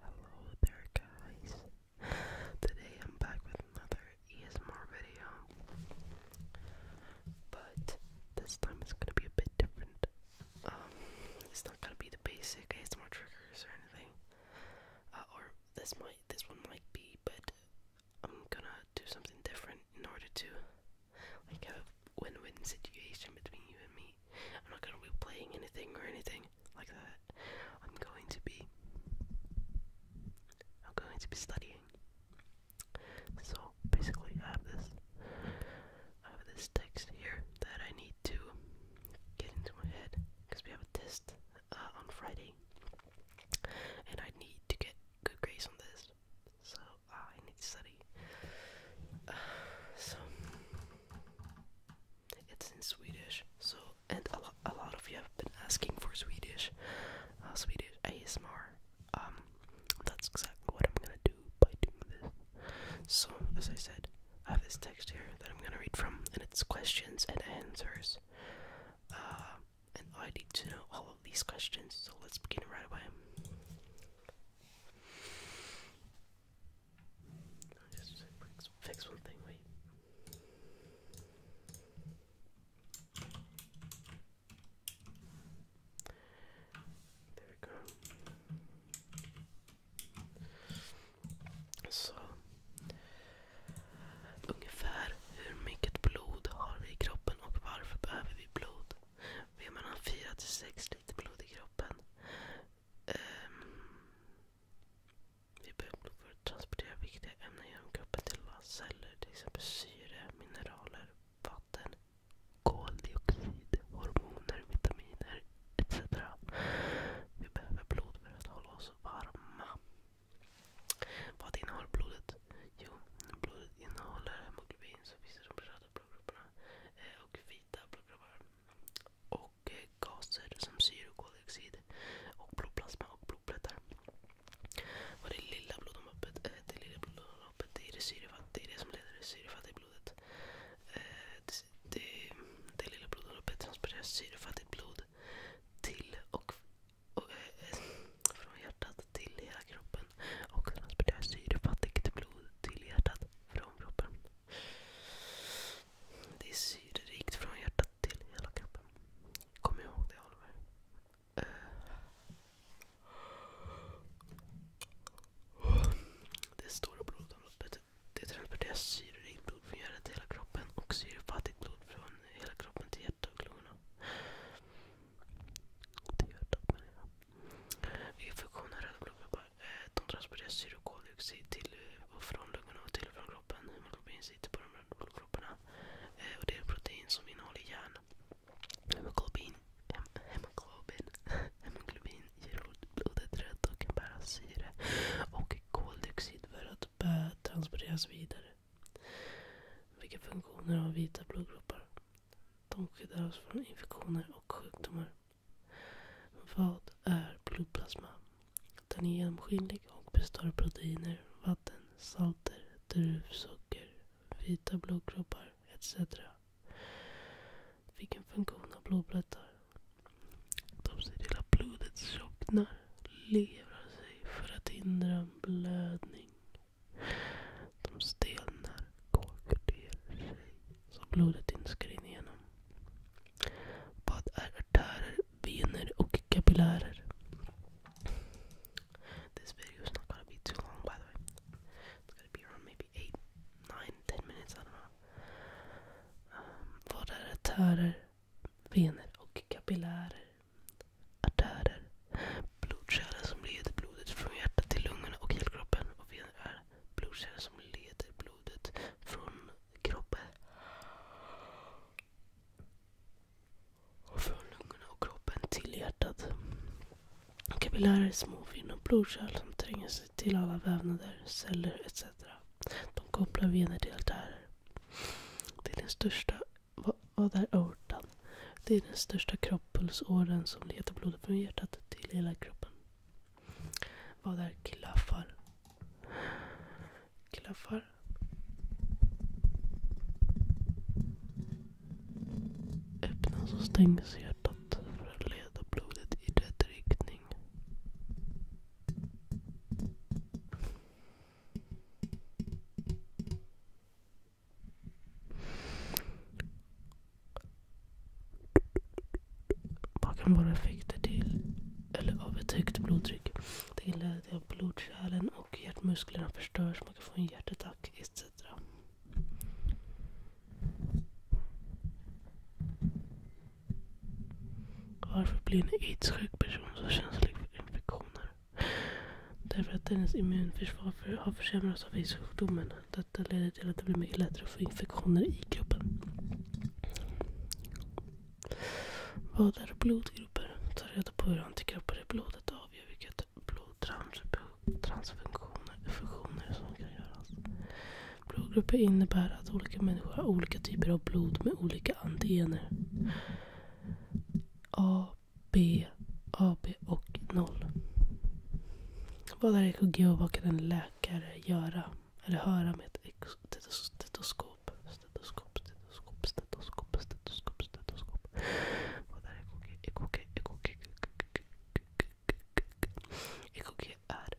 Hello there guys. Today I'm back with another ESMR video. But this time it's gonna be a bit different. Um, it's not gonna be the basic ASMR triggers or anything. Uh, or this might this one might be, but I'm gonna do something different in order to like have win-win situation between you and me. I'm not going to be playing anything or anything like that. I'm going to be I'm going to be studying. So basically I have this I have this text here that I need to get into my head because we have a test uh, on Friday and I need to get good grades on this. So Ah, I need to study. so it's in Swedish. So and a lot, of you have been asking for Swedish, uh, Swedish ASMR. Um, that's exactly what I'm gonna do by doing this. So as I said, I have this text here that I'm gonna read from, and it's questions and answers. Uh, and I need to know all of these questions, so let's begin right away. Ungefär hur mycket blod har vi i kroppen och varför behöver vi blod? Vi har mellan 4 till 6 liter blod i kroppen. Um, vi behöver blod för att transportera viktiga ämnen genom kroppen till våra celler. Till exempel syre, mineraler, vatten, koldioxid, hormoner, vitaminer etc. Vi behöver blod för att hålla oss varma. Vad innehåller blodet? Jo, blodet innehåller hemoglobin som finns i de Eh, och vita blodkroppar. Och eh, gaser som syre och blodplasma och blodplättar. Och det lilla blodomloppet, eh, det är det som leder det syrefattiga blodet. Det, det, det lilla blodomloppet transporterar syrefattigt blod till och, och från hjärtat till hela kroppen och transporterar syrefattigt blod till hjärtat från kroppen. Det är syrerikt från hjärtat till hela kroppen. Kom ihåg det Oliver. Eh. Det stora blodomloppet det transporteras syrerikt blod från hjärtat till hela kroppen och syrefattigt blod från hela kroppen till hjärtat och lungorna till hjärtat röda blodkroppar. De eh, transporterar syre och koldioxid till och eh, från lungorna och till och från kroppen. Hemoglobin sitter på de röda blodkropparna. Eh, och det är protein som innehåller järn. Hemoglobin, ger blodet rött och kan bära syre och koldioxid för att transporteras vidare. Vilka funktioner har vita blodkroppar? De skyddar oss från infektioner och sjukdomar. Vad är blodplasma? Den är genomskinlig och består av proteiner, vatten, salter, druvsocker, vita blodkroppar etc. Vilken funktion har blodplättar? De ser till att blodet tjocknar, lever sig för att hindra blödning. De stelnar, korkar sig så blodet inte ska rinna igenom. Vad är artärer, vener och kapillärer? This video is not gonna be too long by the way. It's gonna be around maybe 8, 9, 10 minutes, I um, vad är artärer, vener och kapillärer? artärer. Blodkärlen som leder blodet från hjärtat till lungorna och helkroppen. Och vener är blodkärlen som leder blodet från kroppen. Och från lungorna och kroppen till hjärtat. Kapillärer är små fina blodkärl som tränger sig till alla vävnader, celler etc. De kopplar vener till artärer. Det är den största vad är aortan? Det är den största kroppspulsådern som leder blodet från hjärtat till hela kroppen. Vad är klaffar? Klaffar? Öppnas och stängs hjärtat för att leda blodet i rätt riktning. Vad kan vara effekter till eller av ett högt blodtryck. Det kan inleder att blodkärlen och hjärtmusklerna förstörs. Man kan få en hjärtattack etc. Varför blir en aidssjuk person så känslig för infektioner? Därför att hennes immunförsvar för, har försämrats av aidssjukdomen. Detta leder till att det blir mycket lättare att få infektioner i kroppen. Vad är blodgrupper? Ta reda på hur antikroppar i blodet avgör vilket blodtransfusioner som kan göras. Blodgrupper innebär att olika människor har olika typer av blod med olika antigener. A, B, AB och 0. Vad är EKG och vad kan en läkare göra eller höra med ett stetoskop? Stetoskop, stetoskop, stetoskop, stetoskop, stetoskop. Vad är EKG? EKG, EKG. EKG är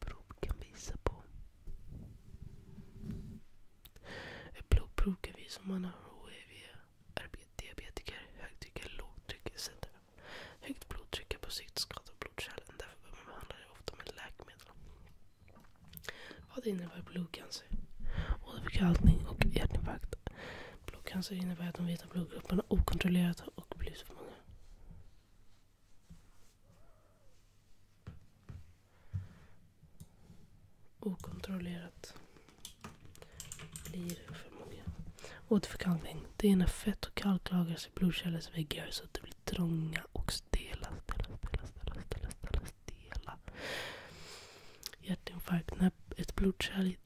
blodprov kan visa på. Ett blodprov kan visa om man har HIV, diabetiker, högtryck eller lågtryck etc. Högt blodtryck är på sikt skada blodkärlen. Därför behöver man behandla det ofta med läkemedel. Vad innebär blodcancer? Åderförkalkning och hjärtinfarkt. Blodcancer innebär att de vita blodgrupperna okontrollerat har och blivit för många. Okontrollerat blir för många. Återförkalkning. Det är när fett och kalk lagras i blodkärlens väggar så att det blir trånga och stela. stela, stela, stela, stela, stela, stela. Hjärtinfarkt. När ett blodkärl i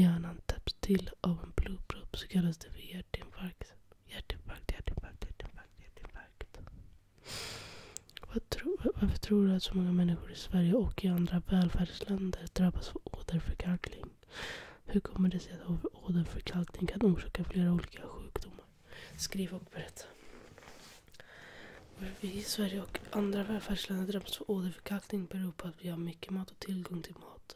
hjärnan täpps till del av en blodpropp så kallas det för hjärtinfarkt. Hjärtinfarkt, hjärtinfarkt, hjärtinfarkt, hjärtinfarkt. Vad tro, varför tror du att så många människor i Sverige och i andra välfärdsländer drabbas av åderförkalkning? Hur kommer det sig att åderförkalkning kan orsaka flera olika sjukdomar? Skriv och berätta. vi i Sverige och andra välfärdsländer drabbas av åderförkalkning beror på att vi har mycket mat och tillgång till mat.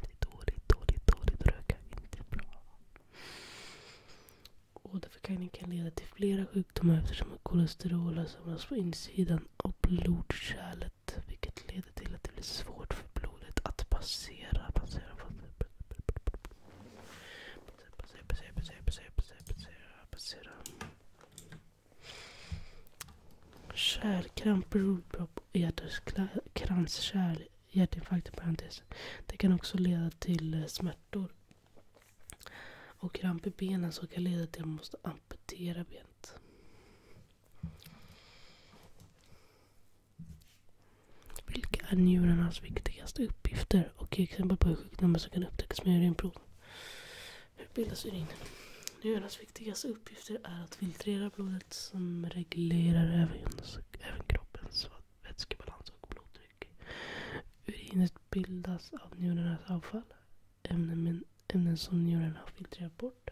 Det är dåligt, dåligt, dåligt. Röka inte bra. Åderförkalkning kan leda till flera sjukdomar eftersom kolesterol har samlats på insidan av blodkärlet vilket leder till att det blir svårt för blodet att passera. passera, passera, passera, passera, passera, passera, passera. Kärlkramp, blodpropp, kranskärl, hjärtinfarkt i parentesen. Det kan också leda till eh, smärtor. Och kramp i benen som kan leda till att man måste amputera benet. Vilka är njurarnas viktigaste uppgifter och ge exempel på hur sjukdomar som kan upptäckas med urinprov? Hur bildas urin? Njurarnas viktigaste uppgifter är att filtrera blodet som reglerar även, kroppens vätskebalans och blodtryck. Urinet bildas av njurarnas avfall, ämnen, ämnen som njurarna har filtrerat bort.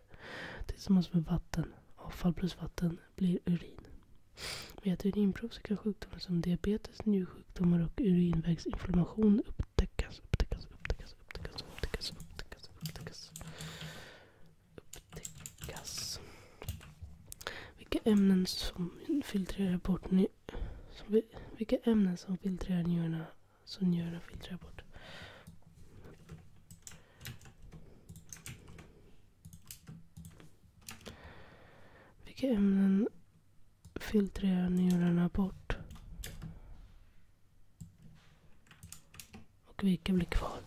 Tillsammans med vatten, avfall plus vatten, blir urin. Med ett urinprov så kan sjukdomar som diabetes, njursjukdomar och urinvägsinflammation upptäckas, upptäckas, upptäckas, upptäckas, upptäckas, upptäckas, upptäckas. Upptäckas. Vilka ämnen som filtrerar bort ni, som, Vilka ämnen som filtrerar njurarna som njurarna filtrerar bort? Vilka ämnen filtrerar njurarna bort? Och vilka blir kvar?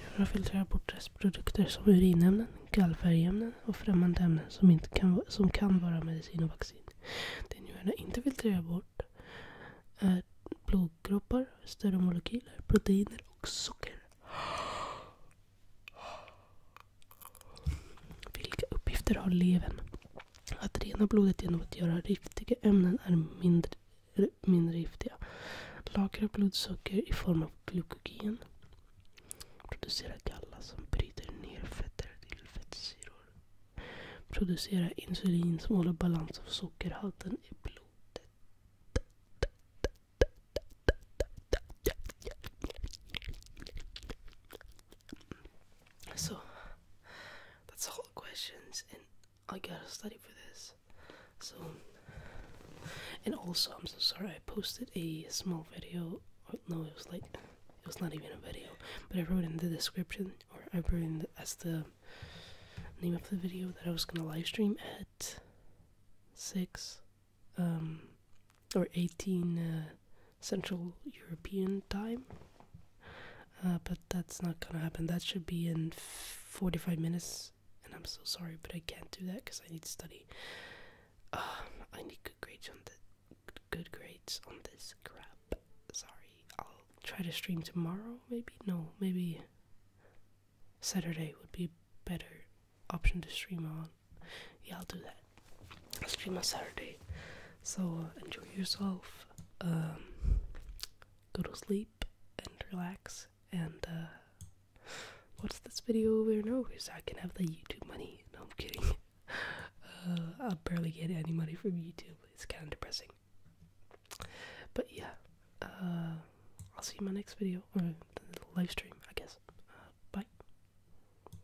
Njurarna filtrerar bort restprodukter som urinämnen, gallfärgämnen och främmande ämnen som, inte kan, som kan vara medicin och vaccin. Det njurarna inte filtrerar bort är blodkroppar, större molekyler, proteiner och socker. Vilka uppgifter har levern? Att rena blodet genom att göra giftiga ämnen är mindre, mindre giftiga. Lagra blodsocker i form av glykogen. Producera galla som bryter ner fetter till fettsyror. Producera insulin som håller balans av sockerhalten i blodet. Så. That's all the questions, and I gotta study for this. So, and also, I'm so sorry, I posted a small video. no, it was like, it was not even a video, but I wrote in the description, or I wrote in as the name of the video that I was gonna live stream at 6 um, or 18. Uh, Central European time. Uh, but that's not gonna happen. That should be in 45 minutes, and I'm so sorry, but I can't do that because I need to study. Ah, I need good grades on the good grades on this crap. Sorry, I'll try to stream tomorrow. Maybe no, maybe Saturday would be better option to stream on. Yeah, I'll do that. I stream on Saturday. So enjoy yourself. Um, go to sleep and relax. And uh, what's this video over and over so I can have the YouTube money? No, I'm kidding. Uh, I barely get any money from YouTube. It's kind of depressing. But yeah, uh, I'll see you in my next video or the live stream, I guess. Uh, bye.